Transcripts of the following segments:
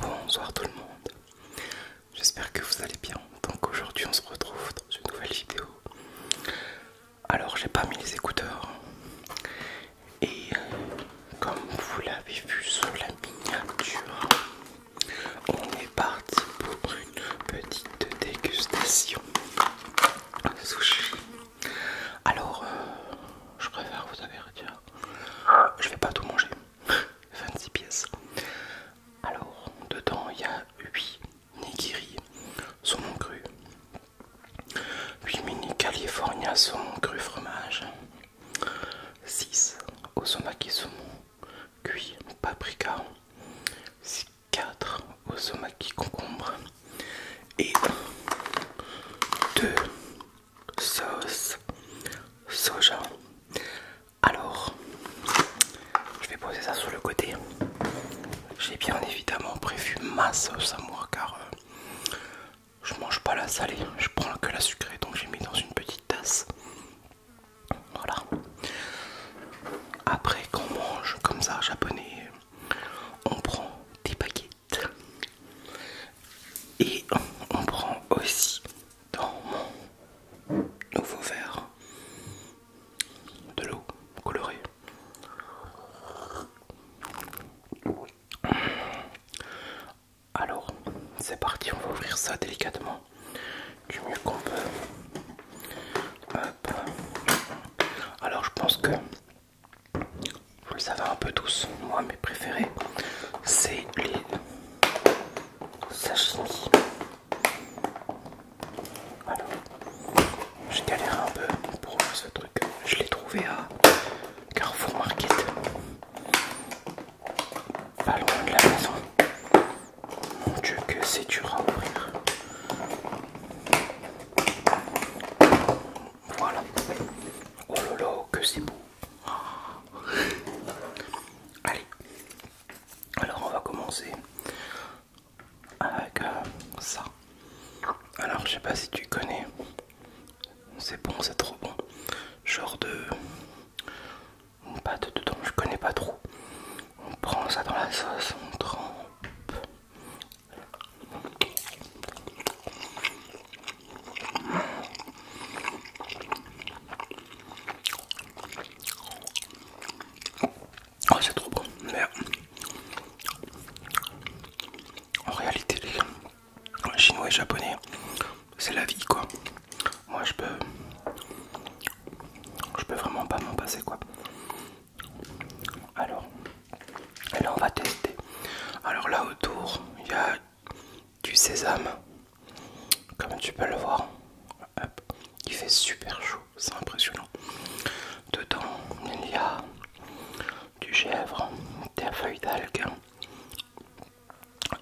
bonsoir tout le monde, j'espère que vous allez bien. Donc aujourd'hui on se retrouve dans une nouvelle vidéo. Alors j'ai pas mis les écouteurs et euh, comme vous l'avez vu sur la miniature, on est parti pour une petite dégustation sushi. Alors euh, je préfère vous avertir, je vais pas tout manger, 26 pièces. Alors dedans il y a 8 nigiri, saumon cru, 8 mini California saumon cru fromage. 6 Osomaki saumon cuit paprika. 4 Osomaki concombre. Et 2 sauce soja. Alors, je vais poser ça sur le côté. J'ai bien évidemment prévu ma sauce à moi car euh, je mange pas la salée, je prends que la sucrée, donc j'ai mis dans une petite tasse. Voilà. Après qu'on mange comme ça japonais, on prend des baguettes. Et on prend aussi dans mon nouveau verre de l'eau colorée. Alors, c'est parti, on va ouvrir ça délicatement du mieux qu'on peut. Alors, je pense que vous le savez un peu tous, moi mes préférés, c'est les sashimi. Alors, j'ai galéré un peu pour ce truc. Je l'ai trouvé à Carrefour Market, pas loin de la maison. Mon dieu, que c'est dur à ouvrir. Voilà. Oh lolo, que c'est beau. Allez, alors on va commencer avec euh, ça. Alors je sais pas si tu connais. C'est bon, c'est trop bon. Genre de une pâte dedans, je connais pas trop. On prend ça dans la sauce, on trempe. Oh, c'est trop bon, mais en réalité, les chinois et japonais, c'est la vie quoi. Moi, je peux, je peux vraiment pas m'en passer quoi. Alors, on va tester. Alors, là autour, il y a du sésame, comme tu peux le voir, il fait super chaud c'est impressionnant. Dedans, il y a du chèvre, des feuilles d'algues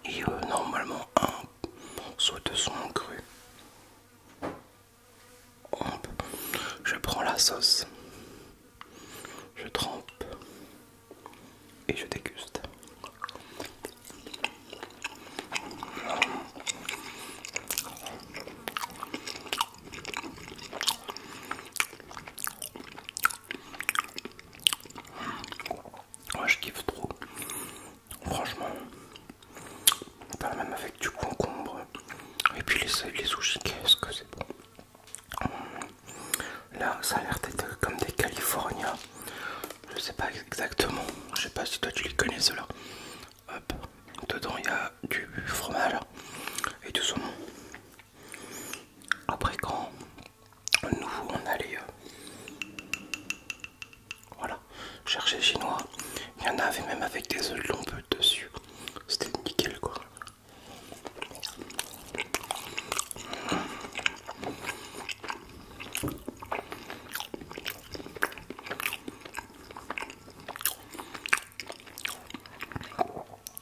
et euh, normalement un morceau de son cru. Je prends la sauce, je trempe et je déguste. Moi je kiffe trop. Franchement, même avec du concombre et puis les, les sushis, qu'est-ce que c'est hum, Là, ça a l'air d'être comme des Californias. Je sais pas exactement. Je sais pas si toi tu les connais ceux Hop. Dedans il y a du fromage et tout saumon. Après quand nous on allait euh, voilà, chercher chinois, il y en avait même avec des œufs lombeux dessus. C'était nickel quoi.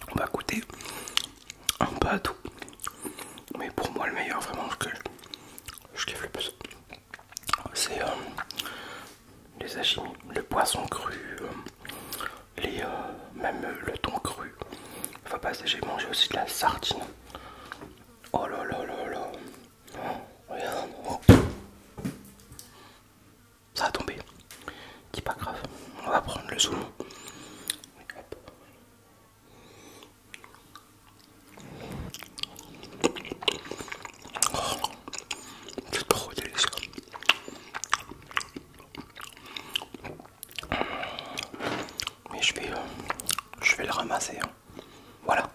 On va goûter un peu tout. Mais pour moi, le meilleur, vraiment, que je, kiffe le plus, c'est euh, les poissons le poisson cru, euh, euh, même le thon cru. Enfin, pas bah, j'ai mangé aussi de la sardine. Oh là là là là. Ça a tombé. Qui pas grave. On va prendre le zoom. Mais euh, je vais, le ramasser. Hein. Voilà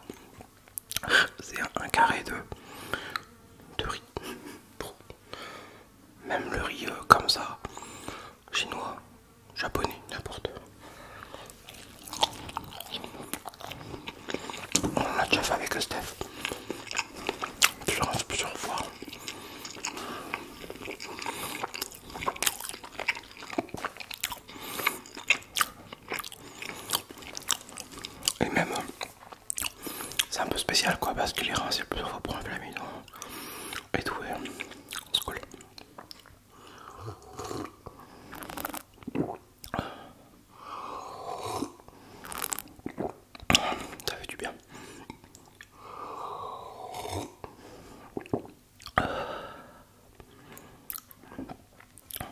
c'est un, carré de, de riz. Même le riz euh, comme ça, chinois, japonais, n'importe. On a déjà fait avec Steph plusieurs fois. Et même, c'est un peu spécial quoi, parce qu'il est rincé plusieurs fois pour un flamidon et tout, et se cool. Ça fait du bien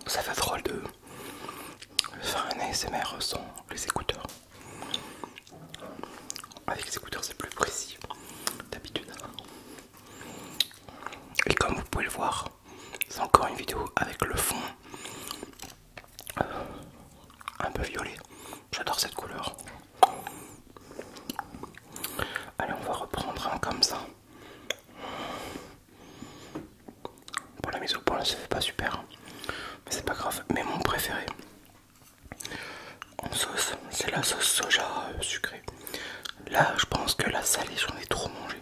ça fait drôle de faire un ASMR sans les écouteurs. Avec les écouteurs, c'est plus précis d'habitude. Et comme vous pouvez le voir, c'est encore une vidéo avec le fond euh, un peu violet. J'adore cette couleur. Allez, on va reprendre un comme ça. Pour la mise au point, ça fait pas super, hein. mais c'est pas grave. Mais mon préféré en sauce, c'est la sauce soja euh, sucrée. Là, je pense que la salée, j'en ai trop mangé.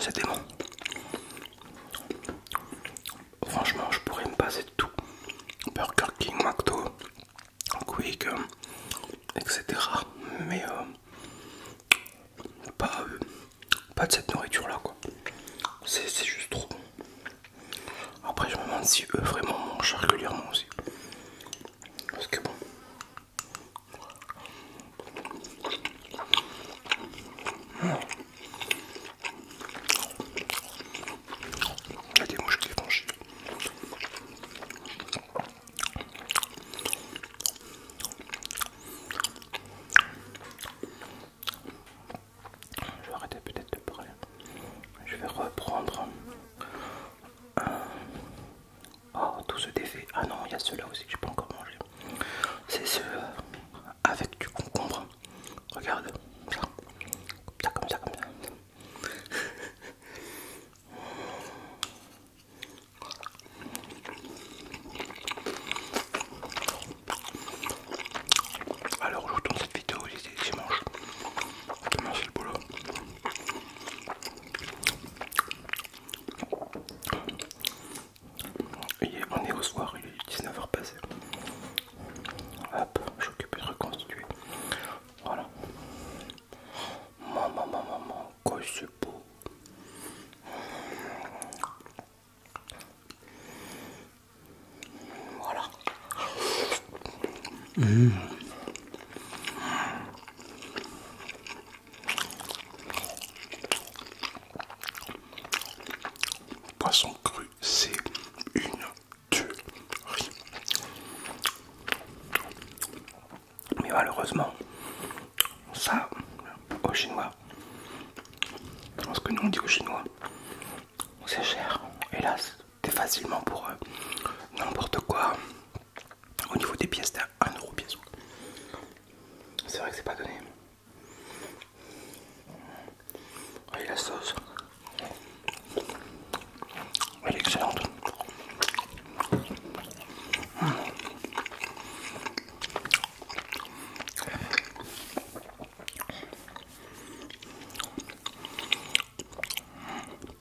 C'était bon. Franchement, je pourrais me passer de tout. Burger King, McDo, Quick, euh, etc. Mais euh, pas, euh, pas de cette nourriture là quoi. C'est juste trop bon. Après, je me demande si eux vraiment mangent régulièrement aussi. Parce que bon, il y a ah, des mouches qui franchissent. Je vais arrêter peut-être de parler. Je vais reprendre euh, Oh, tout ce défait. Ah non, il y a ceux-là aussi que j'ai pas encore mangé. C'est ce euh, avec du concombre. Regarde, comme ça comme ça, comme ça. Alors je cette vidéo mange. c'est le boulot on est au soir, il est 19h passé. Hop, je suis de reconstituer. Voilà. Maman, maman, maman, que c'est beau. Voilà. Mmh. Poisson cru, c'est une tuerie. Mais malheureusement, ça, aux Chinois, ce que nous on dit aux Chinois, c'est cher. Hélas, c'est facilement pour eux. N'importe quoi, au niveau des pièces, c'était à 1€ sûr. C'est vrai que c'est pas donné. Ah, et la sauce, elle est excellente. Hum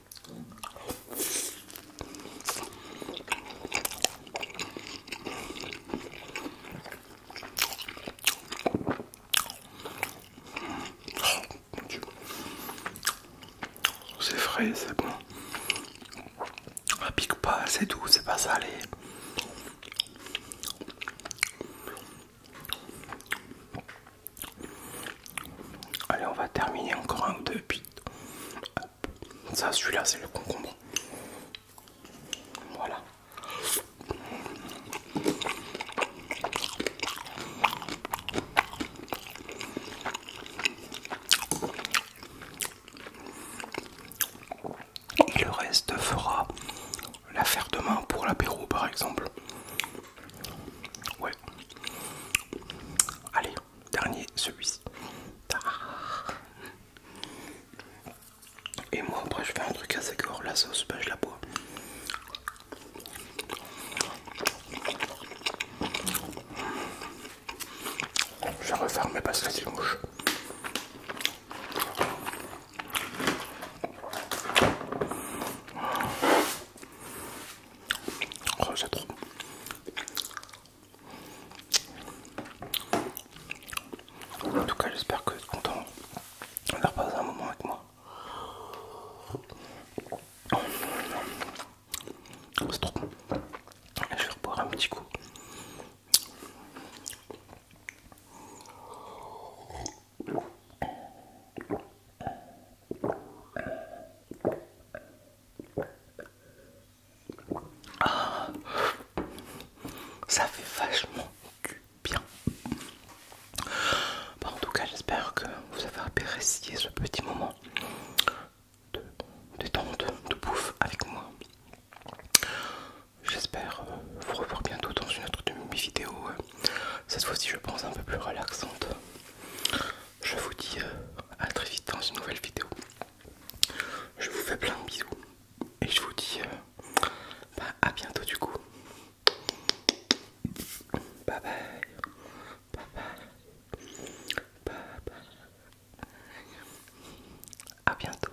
Oh, c'est frais, c'est bon. Ça pique pas, c'est doux, c'est pas salé. Allez, on va terminer encore un ou deux, ça, celui-là, c'est le concombre. Voilà. Et le reste fera l'affaire demain pour l'apéro par exemple. Ouais. Allez, dernier, celui-ci. Et moi après je fais un truc assez gore, la sauce, pas bah, je la bois. Je vais refermer parce que c'est mouche. Oh, trop En tout cas, j'espère que content de repasser un moment avec moi. C'est trop bon. Je vais re-boire un petit coup. Ah. ça fait vachement du bien. Bah, en tout cas, j'espère que vous avez apprécié ce petit moment de détente, de, bouffe avec moi. J'espère euh, vous revoir bientôt dans une autre demi mes Cette fois-ci, je pense un peu plus relaxante. Je vous dis euh, à très vite dans une nouvelle vidéo. Je vous fais plein de bisous et je vous dis euh, bah, à bientôt du coup. Bye bye. Bye bye. Bye bye. À bientôt.